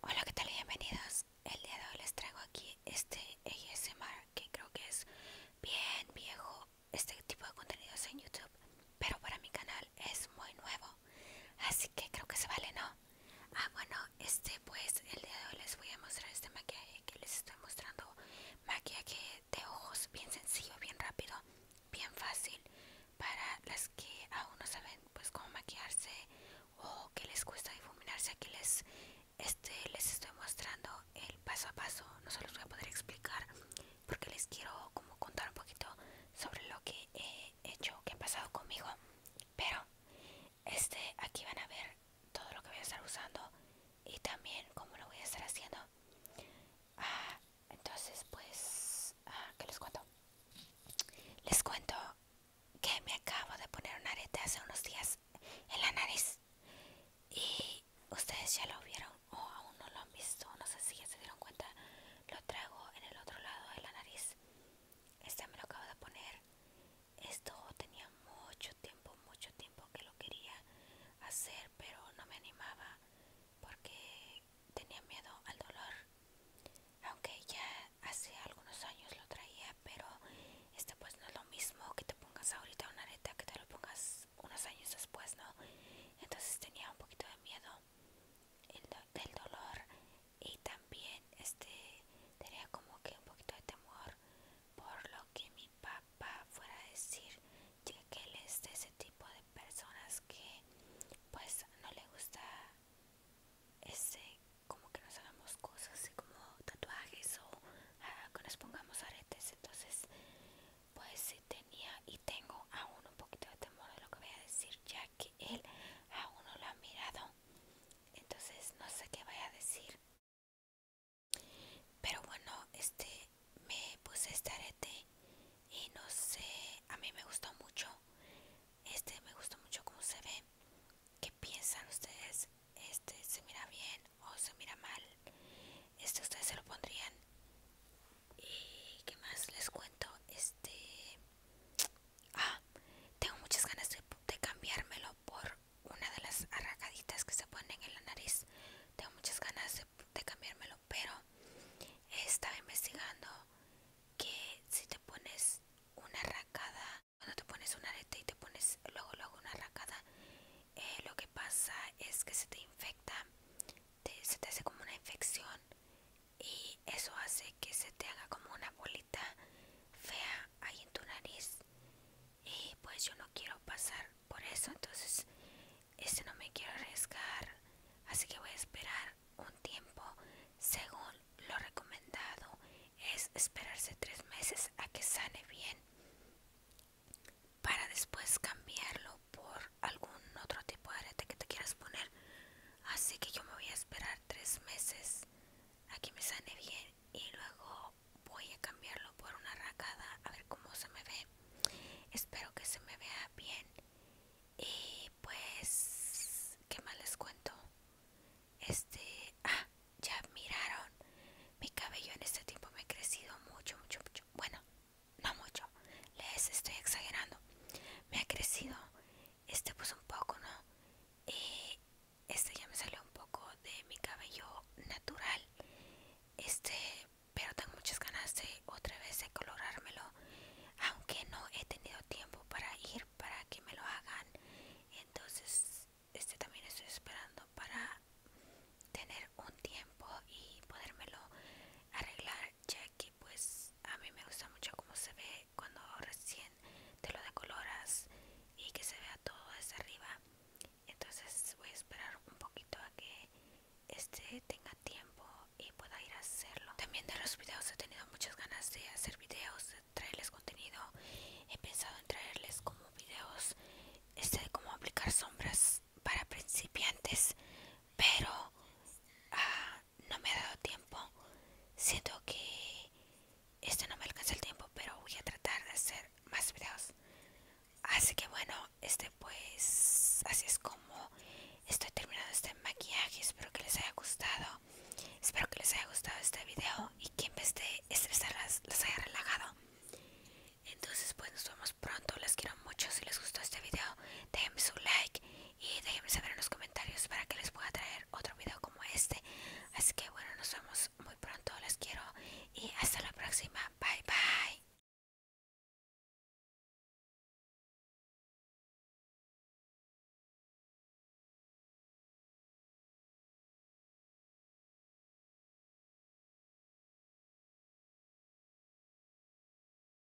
Hola, ¿qué tal? Bienvenidos. El día de hoy les traigo aquí este ASMR que creo que es bien viejo este tipo de contenidos en YouTube, pero para mi canal es muy nuevo, así que creo que se vale, ¿no? Ah, bueno, este pues el día de hoy les voy a mostrar este maquillaje que les estoy mostrando, maquillaje de ojos bien sencillo, bien rápido, bien fácil para las que aún no saben pues cómo maquillarse o que les cuesta difuminarse aquí les este les estoy mostrando el paso a paso no se los voy a poder explicar porque les quiero como contar un poquito sobre lo que he hecho qué ha pasado conmigo pero este aquí van a ver todo lo que voy a estar usando y también cómo lo voy a estar haciendo Ah, entonces, pues, que ah, ¿qué les cuento? Les cuento que me acabo de poner un arete hace unos días en la nariz. Y ustedes ya lo vieron o aún no lo han visto, no sé si ya se dieron cuenta. Lo traigo en el otro lado de la nariz. Este me lo acabo de poner. Esto tenía mucho tiempo, mucho tiempo que lo quería hacer, pero no me animaba porque tenía miedo al dolor, aunque ya hace algunos años lo traía, pero este pues no es lo mismo que te pongas ahorita una areta que te lo pongas unos años después, ¿no? Entonces tenía un poquito de miedo del dolor y también este tenía como que un poquito de temor por lo que mi papá fuera a decir ya que él es de ese tipo de personas que pues no le gusta ese como que nos hagamos cosas así como tatuajes o ah, que nos pongamos aretes entonces pues sí tenía y tengo aún un poquito de temor de lo que voy a decir ya que él aún no lo ha mirado entonces no sé qué vaya a decir pero bueno, este me puse este arete y no sé, a mí me gustó mucho. Este me gustó mucho cómo se ve. ¿Qué piensan ustedes? Este se mira bien o se mira mal. Este ustedes se lo pondrían. Y qué más les cuento. Este, ah, tengo muchas ganas de, de cambiármelo por una de las arracaditas que se ponen en la nariz. Tengo muchas ganas de, cambiármelo, pero estaba investigando que si te pones una arracada, cuando te pones una arete y te pones luego luego una arracada, eh, lo que pasa es que se te infecta, te, se te hace como una infección y eso hace que se te haga como una bolita fea ahí en tu nariz y pues yo no quiero pasar por eso entonces este no me quiero arriesgar así que voy a esperar un tiempo según lo recomendado es esperarse tres meses a que sane bien para después cambiarlo por algún otro tipo de arete que te quieras poner así que yo me voy a esperar tres meses a que me sane bien y luego voy a cambiarlo por una racada a ver cómo se me ve espero que se me vea bien y pues qué más les cuento este ah ya miraron mi cabello en este tiempo me ha crecido mucho mucho mucho bueno no mucho les estoy exagerando me ha crecido este pues un poco no y este ya me salió un poco de mi cabello natural este pero tengo muchas ganas de otra vez de colorármelo aunque no he tenido tiempo para ir para que me lo hagan entonces este también estoy esperando para tener un tiempo y podérmelo arreglar ya que pues a mí me gusta mucho cómo se ve cuando recién de lo de coloras y que se vea todo desde arriba. Entonces voy a esperar un poquito a que este tenga tiempo y pueda ir a hacerlo. También de los videos he tenido muchas ganas de hacer videos, de traerles contenido. He pensado en traerles como videos este de cómo aplicar sombras para principiantes, pero ah, no me ha dado tiempo. Siento que Este no me alcanza el tiempo, pero voy a tratar de hacer más videos. Así que bueno, este pues así es como estoy terminando este maquillaje. Espero que les haya gustado. Espero que les haya gustado este video y que en vez de estresarlas las haya relajado. Entonces pues nos vemos pronto. les quiero mucho. Si les gustó este video, déjenme su like y déjenme saber en los comentarios para que les pueda traer otro video como este así que bueno nos vemos muy pronto Les quiero y hasta la próxima bye bye